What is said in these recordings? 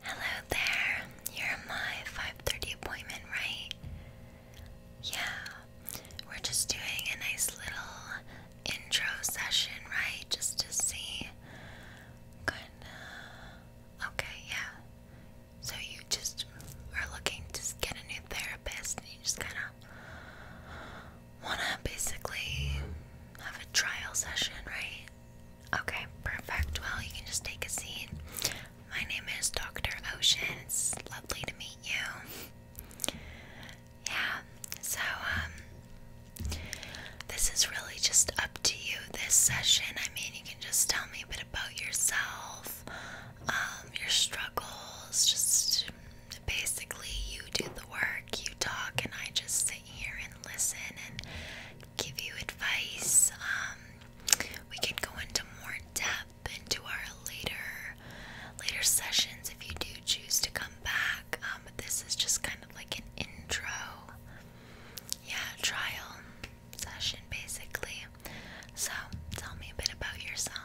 Hello there. You're my 5:30 appointment, right? Yeah. We're just doing a nice little intro session, right? Just to see. Good. Okay, yeah. So you just are looking to get a new therapist, and you just kind of want to basically have a trial session, right? Okay, perfect. Well, you can just take a seat. My name is Dr. Ocean. It's lovely to meet you. Yeah, so, um, this is really just up to you this session. I mean, you can just tell me a bit about yourself, um, your struggles, just basically you do the work, you talk, and I just sit here and listen and give you advice. Um, we can go into more depth into our later later sessions if you do choose to come back. Um, this is just kind of like an intro, yeah, trial session basically. So tell me a bit about yourself.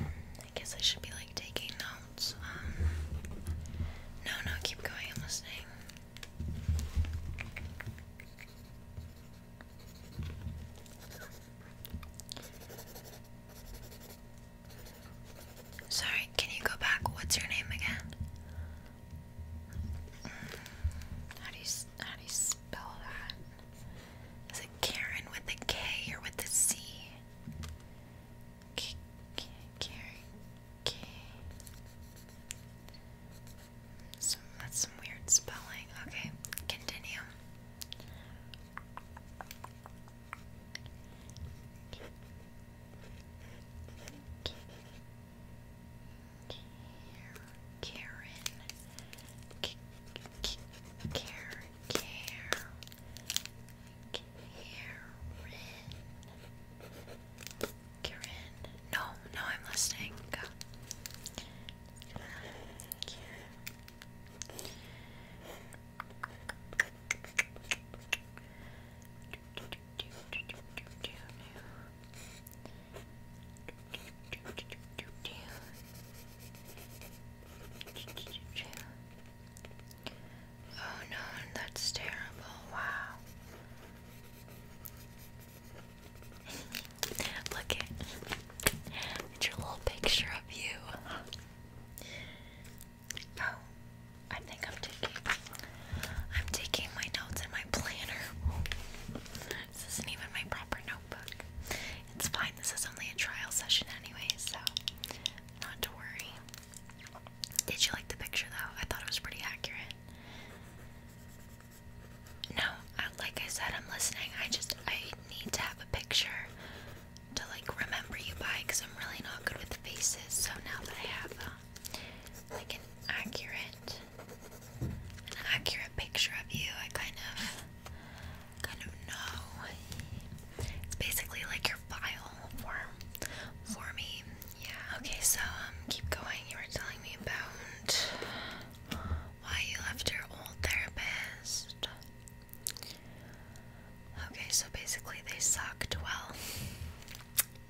I guess I should be like taking notes. Um, no, no, keep going. I'm listening. Sorry, can you go back? What's your name again? Mm, how do you how do you spell that? Is it Karen with a K or with a C? K K carry K. Some that's some weird spelling. Okay, continue. K K Karen. K K Care, care. Karen. Karen. No, no, I'm listening. Uh, Oh no, that's terrible. Wow. Look it. It's your little picture of you. Oh, I think I'm taking I'm taking my notes in my planner. This isn't even my proper notebook. It's fine, this is only a trial session anyway, so not to worry. Did you like the picture though? I thought it was pretty accurate. No, like I said, I'm listening. I just, I need to have a picture to like remember you by because I'm really not good with faces. So now that I have uh, like an accurate, an accurate picture of you, I kind of kind of know. It's basically like your file form for me. Yeah. Okay. So um, keep going. You were telling me about why you left your old therapist. Okay. So basically, they sucked. Well,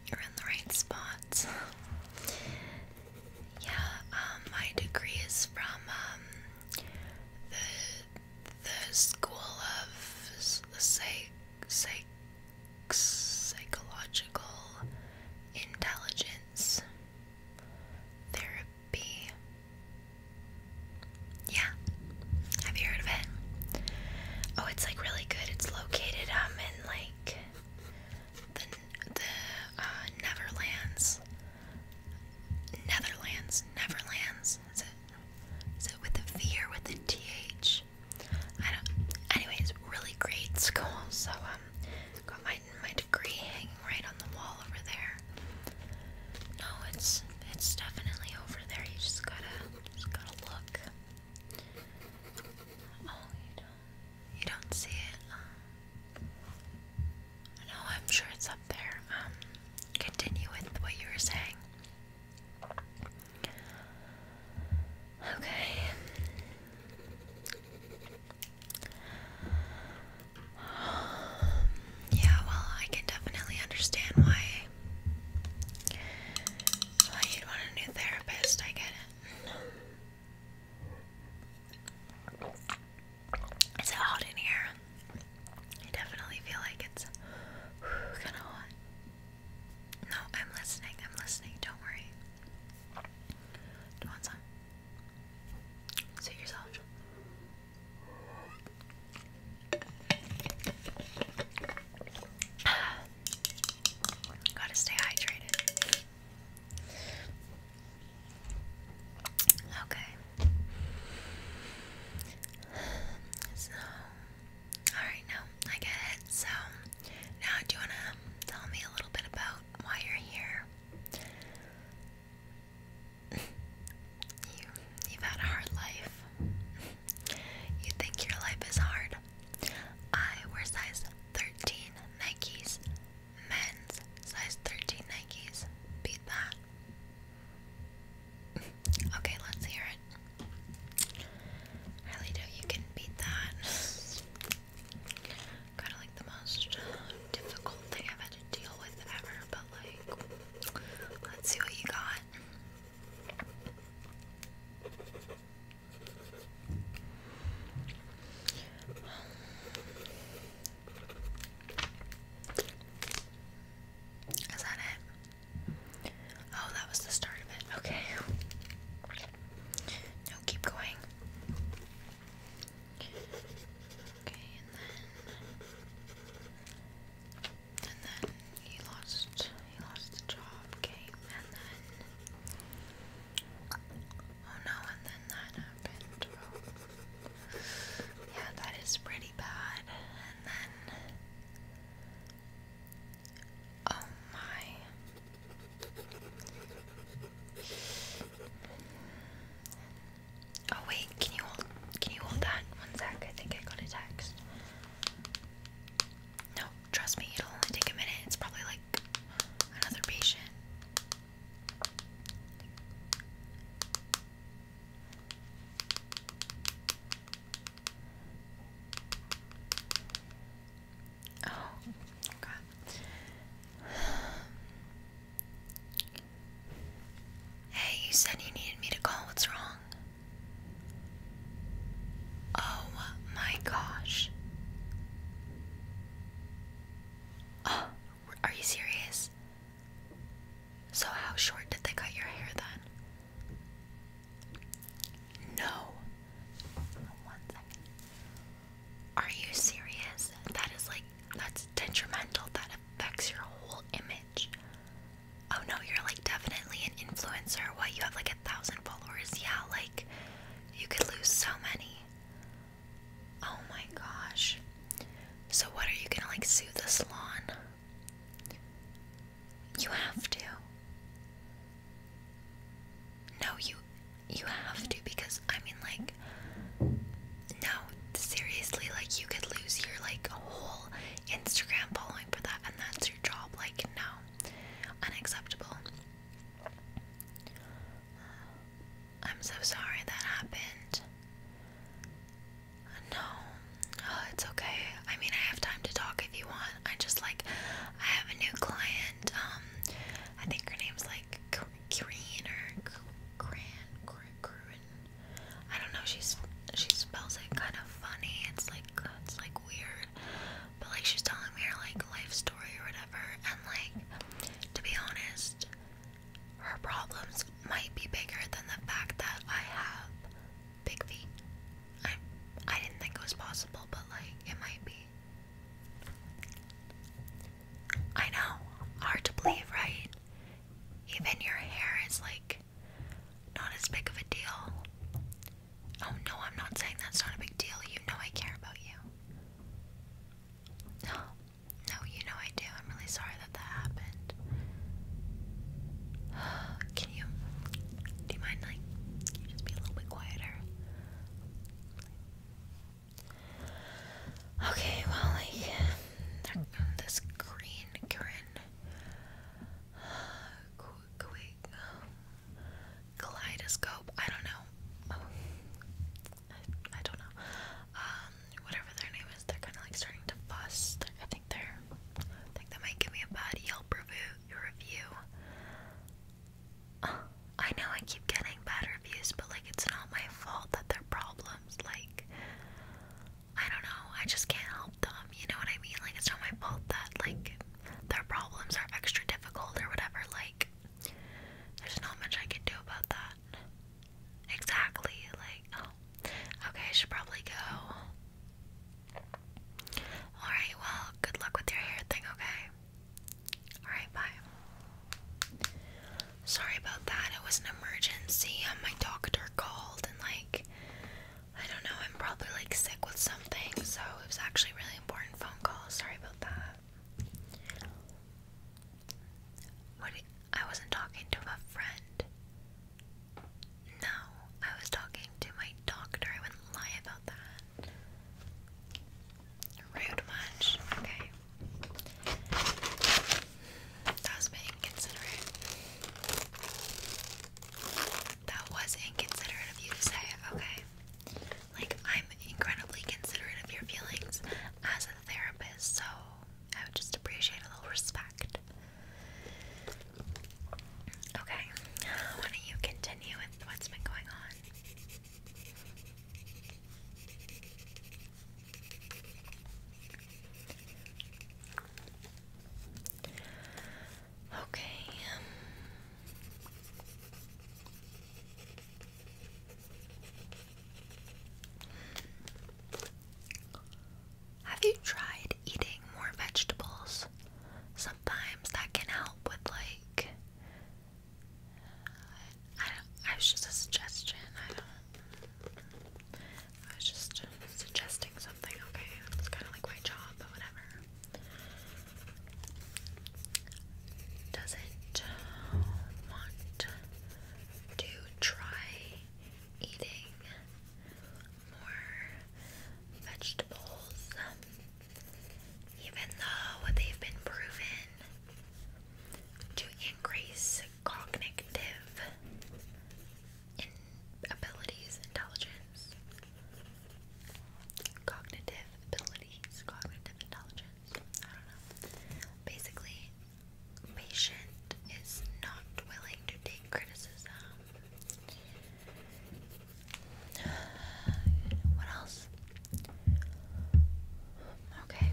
you're in the right spots. Yeah, um, my degree is from um, the the school of psych, psych, psychological intelligence therapy. Yeah, have you heard of it? Oh, it's like really good. It's located um in like the the uh, Neverlands, Netherlands, Neverlands. Is it, is it with a V or with a TH? I don't. Anyways, really great school. So um, my my degree hanging right on the wall over there. No, it's it's definitely over there. You just gotta gotta look. Oh, you don't you don't see it? no, I'm sure it's up there. Um, continue with what you were saying. Okay. Um, yeah, well, I can definitely understand why why you'd want a new therapist. I get it. Is hot in here? I definitely feel like it's kind of hot. No, I'm listening. I'm listening. Don't worry. Do you want some? yourself. Gotta stay hydrated. Okay. So, alright, now I get it. So, now do you want to tell me a little bit about why you're here? you, have had a hard life. you think your life is hard. I wear size 13 Nikes, men's size 13 Nikes. Beat that. Okay, let's hear it. I really doubt you can beat that. Kind of like the most difficult thing I've had to deal with ever, but like, let's see what you got. Is that it? Oh, that was the start of it. Okay. No, keep going. Okay, and then and then he lost he lost the job, okay, and then oh no, and then that happened. Oh. Yeah, that is pretty bad oh my oh wait can you hold can you hold that one sec I think I got a text no trust me it'll only take a minute it's probably like another patient Oh, crap. Hey, you said you needed me to call. What's wrong? Oh my gosh. Oh, are you serious? So, how short did they cut your hair then? No. Are you serious? That is like, that's detrimental. That affects your whole image. Oh no, you're like definitely an influencer. What? You have like a thousand followers. Yeah, like you could lose so many. Oh my gosh. So, what are you gonna like sue the salon? You have to. No, you you have to because I mean like no, seriously, like you could lose your like whole Instagram following for that and that's your job. Like no. Unacceptable. I'm so sorry that happened. No, oh, it's okay. I mean, I have time to talk if you want. I just like, I have a new client. Um, I think her name's like Green or Gran Gruen. I don't know. She's she spells it kind of funny. It's like it's like weird, but like she's telling me her like life story or whatever. And like, to be honest, her problems might be bigger than the fact that I have big feet. I I didn't think it was possible, but like it might be. I know, hard to believe, right? Even your hair is like not as big of a deal. Oh no, I'm not saying that's not a big deal. You know I care about you. No, no, you know I do. I'm really sorry that that happened. Can you, do you mind, like, just be a little bit quieter? Okay, well, like, this green grin, quick, um, kaleidoscope, I don't know. Oh, I, don't know. Um, whatever their name is, they're kind of like starting to fuss. I think they're, I think they might give me a bad Yelp review. I know I keep getting bad reviews, but like it's not my fault that they're problems. Like, I don't know. I just can't help them. You know what I mean? Like, it's not my fault that like their problems are extra difficult or whatever. Like, there's not much I can do about that. Exactly. Like, oh, Okay, I should probably go. Alright, well, good luck with your hair thing, okay? Alright, bye. Sorry about that. It was an emergency. Um, my doctor called and, like, I don't know, I'm probably, like, sick with something, so it was actually really important phone call. Sorry about that. What? I wasn't talking to a friend. No, I was talking to my doctor. I wouldn't lie about that. Rude much. Okay. That was being inconsiderate. That was inconsiderate of you to say, okay? Like, I'm incredibly considerate of your feelings as a therapist, so I would just appreciate a little respect. Okay, why don't you continue with what's been going on? Okay. Um, have you tried eating more vegetables? Sometimes that can help with like I I was just a suggestion. I don't. I was just suggesting something. Okay, it's kind of like my job, but whatever. Doesn't want to try eating more vegetables, um, even though they've been proven to increase cognitive abilities, intelligence, cognitive abilities, cognitive intelligence. I don't know. Basically, patient is not willing to take criticism. What else? Okay.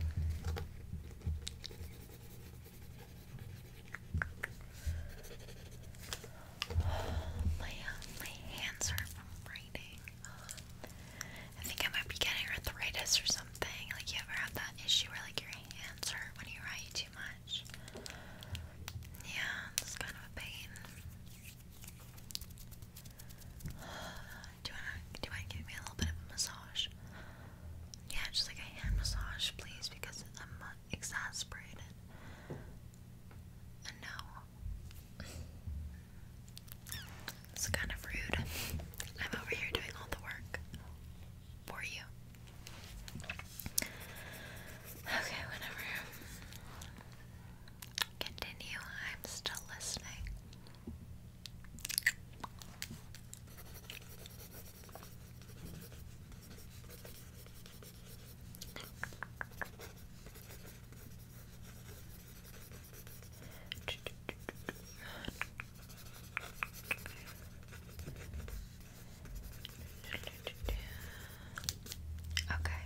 My, uh, my hands are from writing. I think I might be getting arthritis or something. Like, you ever had that issue where, like, your hands hurt when you write too much. Yeah, it's kind of a pain. Do you wanna, do you wanna give me a little bit of a massage? Yeah, just like a hand massage, please, because I'm exasperated. no. It's kind of rude. I'm over here doing all the work for you. Okay, whatever. Continue. I'm still listening. Okay.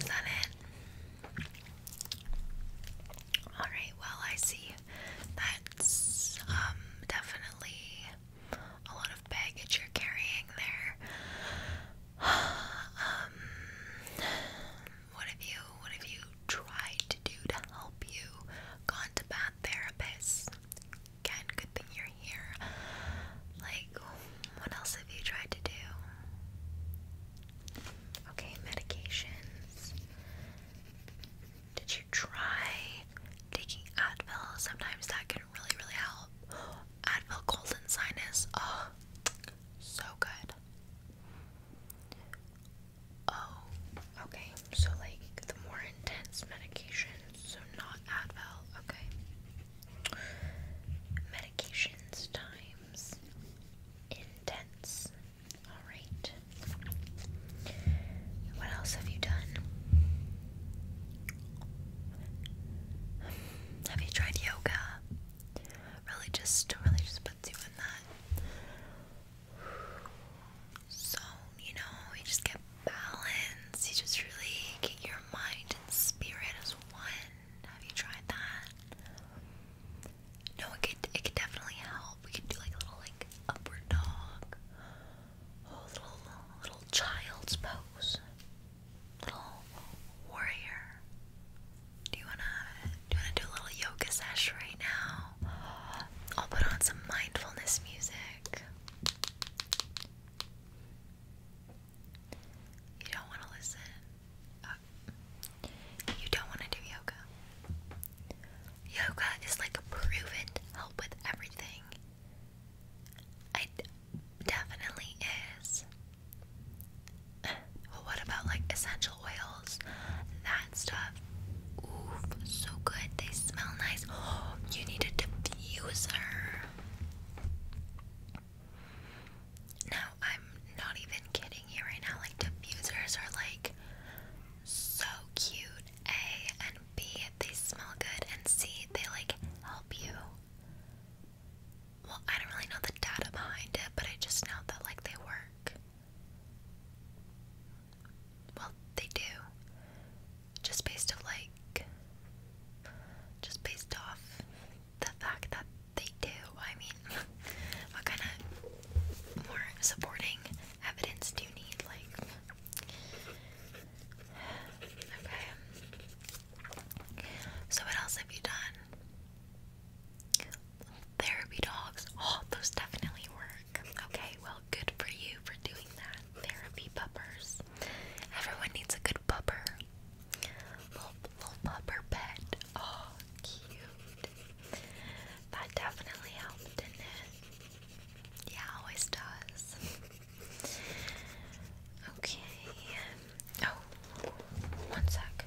Is that it? Alright, well, I see that's um, definitely a lot of baggage you're carrying there. um, what have you, what have you try to do to help you gone to bad therapists. Again, good thing you're here. Like, what else have you tried to do? Okay, medications. Did you try taking Advil? Sometimes that can really, really help. Advil cold and sinus. Oh, so good. Oh, okay. So, like, the more intense medications, so not Advil, okay. Medications times intense. Alright. What else have you done? Have you tried yoga? Really just, really just puts you in that. So you know, you just get balance, you just really get your mind and spirit as one. Have you tried that? No, it could it could definitely help. We could do like a little like upward dog. Oh, little little child's pose. Little warrior. Do you wanna do wanna do a little yoga sesh right now? I'll put on some mindfulness music. You don't want to listen. Oh. you don't want to do yoga. Yoga is like a proven help with everything. It definitely is. Well, what about like essential? oils, that stuff. Oof, so good. They smell nice. Oh, you need a diffuser. Now, I'm not even kidding you right now. Like, diffusers are like so cute. A and B, they smell good. And C, they like help you. Well, I don't really know the data behind it, but I just know that like they work. Well, they do. Just based of like just based off the fact that they do. I mean, what kind of more supporting evidence do you need? Like Okay. So what else have you done? Therapy dogs. Oh, those definitely were Okay, well, good for you for doing that. Therapy puppers. Everyone needs a good pupper. Little, little pupper pet. Oh, cute. That definitely helped, didn't it? Yeah, always does. okay. Oh, one sec.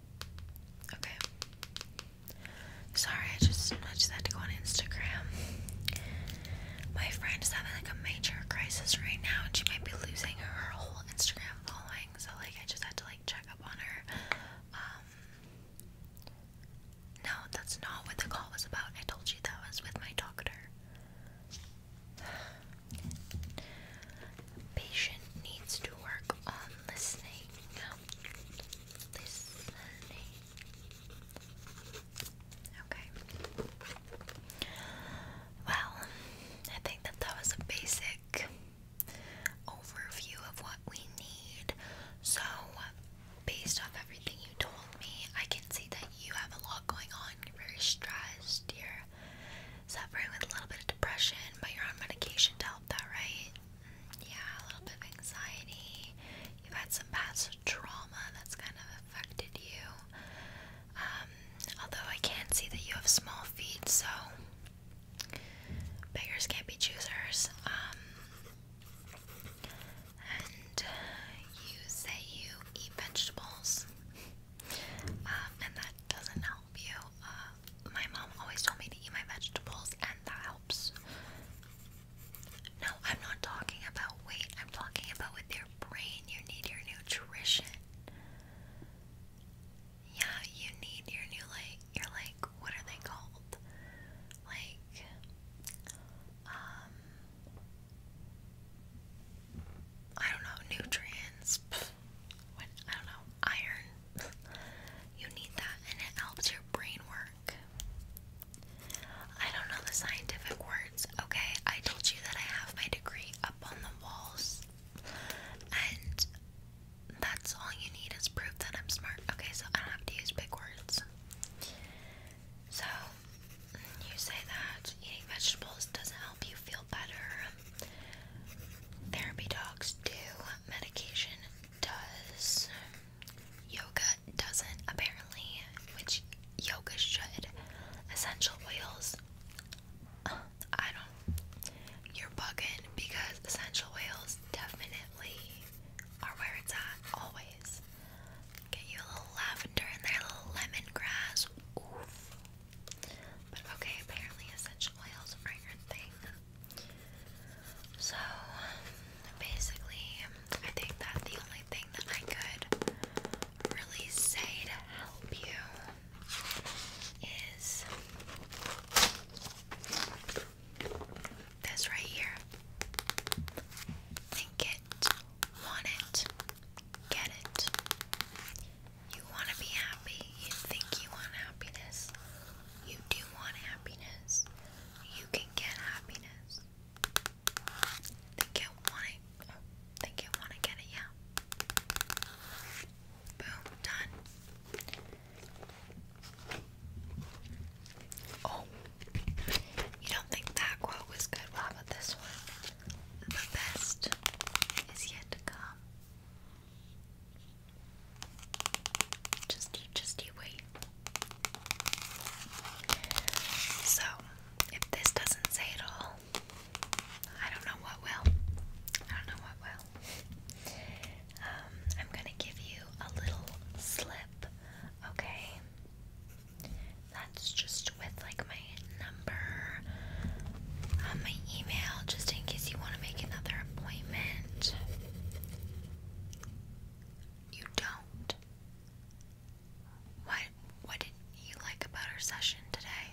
Okay. Sorry, I just I just had to go on Instagram. My friend is having like a major crisis right now, and she might be losing her whole Instagram following. So like, I just had to like check up on her. Um, no, that's not what the call was about. I told you that was with my doctor patient needs to work on listening. Listening. Okay. Well, I think that that was a basic overview of what we need. So, based off everything you told me, I can see that you have a lot going on. You're very stressed. you suffering with a little bit of depression, but you're on medication to help that, right? Mm, yeah, a little bit of anxiety. You've had some past trauma that's kind of affected you. Um, although I can see that you have small feet, so beggars can't be choosers. Um, and you say you eat vegetables, um, and that doesn't help you. Uh, my mom always told me to eat my vegetables, and that helps. No, I'm not talking about weight. I'm talking about with your brain. You need your nutrition. Yeah, you need your new like your like what are they called? Like um I don't know, nutrients. I don't know, iron. you need that and it helps your brain work. I don't know the scientific words, okay? I told you that I have my degree up on the walls and that's all you need is proof that I'm smart. Okay, so I don't have to use big words. So, you say that eating vegetables doesn't help you feel better. Therapy dogs do, medication does, yoga doesn't, apparently, which yoga should. Essential oils, uh, I don't, you're bugging because essential oils definitely are where it's at, always. Get you a little lavender and there, a little lemongrass. Oof. But okay, apparently essential oils are your thing. So basically, I think that the only thing that I could really say to help you is this right here. Think it, want it, get it. You want to be happy. You think you want happiness. You do want happiness. You can get happiness. Think you want it. think you want to get it, yeah. Boom, done. Oh, you don't think that quote was good? Well, this one? The best is yet to come. Just, just you wait. So, if this doesn't say it all, I don't know what will. I don't know what will. Um, I'm gonna give you a little slip, okay? That's just with like my number um, my email just in case you want to make another appointment. You don't. What what did you like about our session today?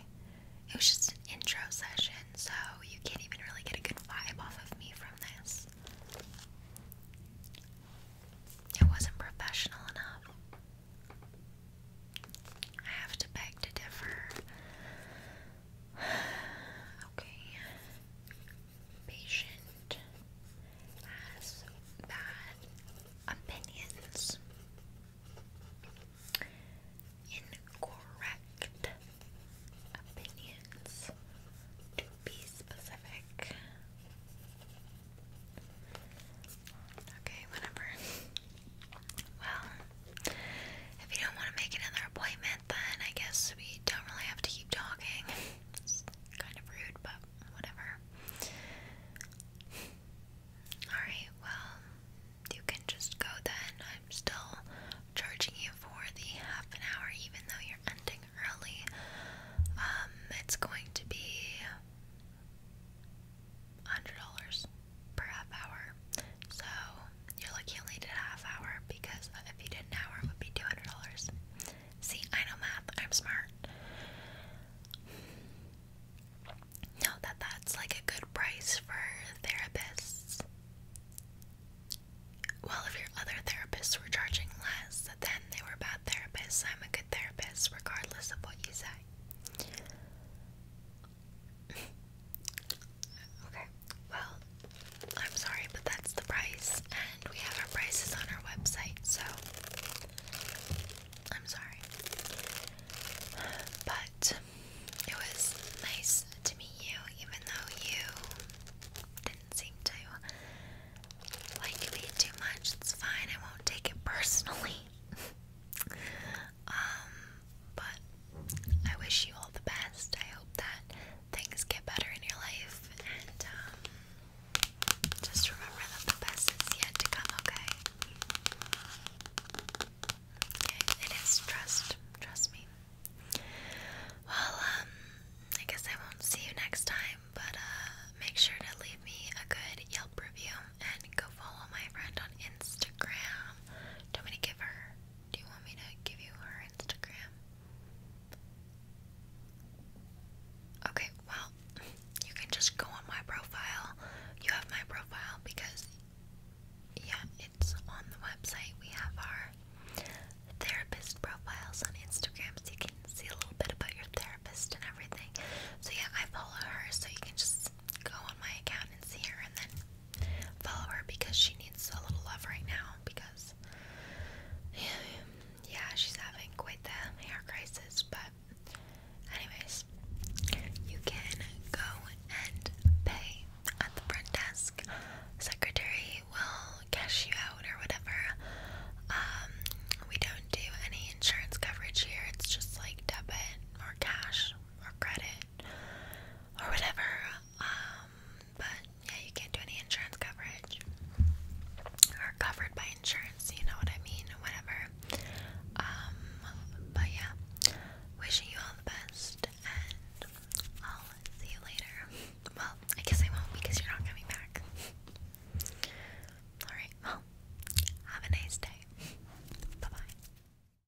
It was just an intro session, so you can't even really get a good vibe off of me from this. It wasn't professional enough. I have to beg to differ. Okay. Patient has bad opinions. Incorrect opinions, to be specific. Okay, whatever. Well, if you don't want to make another appointment, then I guess we don't really have to keep talking. kind of rude, but whatever. Alright, well, you can just go then. I'm still charging you for the half an hour, even though you're ending early. Um, it's going to be $100 per half hour. So you're lucky only did half hour because if you did an hour, it would be two hundred dollars. See, I know math. I'm smart. No, that that's like a good price for therapists. Well, if your other therapists were charging less, then they were bad therapists. I'm a good therapist, regardless of what you say. Okay, well, I'm sorry, but that's the price, and we have our prices on our website, so I'm sorry. But it was nice to meet you, even though you didn't seem to like me too much. It's fine, I won't take it personally. Um, but I wish you all the best. I hope that things get better in your life, and um, just remember that the best is yet to come. Okay? Okay, it is. Trust, trust me. Well, um, I guess I won't see you next time, but uh, make sure to leave me a good Yelp review and go follow my friend on Instagram. Dominic Giver. Do you want me to give you her Instagram? Okay, well, you can just go on my profile. You have my profile because, yeah, it's on the website. We have our therapist profiles on Instagram so you can see a little bit about your therapist and everything. So, yeah, I follow her, so you can just go on my account and see her and then follow her because she needs a little love right now because yeah, she's having quite the hair crisis, but anyways, you can go and pay at the front desk. Secretary will cash you out or whatever. Um, we don't do any insurance coverage here. It's just like debit or cash or credit or whatever. Um, but yeah, you can't do any insurance coverage or covered by insurance, you know what I mean, whatever. Um, but yeah, wishing you all the best, and I'll see you later. Well, I guess I won't because you're not coming back. Alright, well, have a nice day. Bye bye.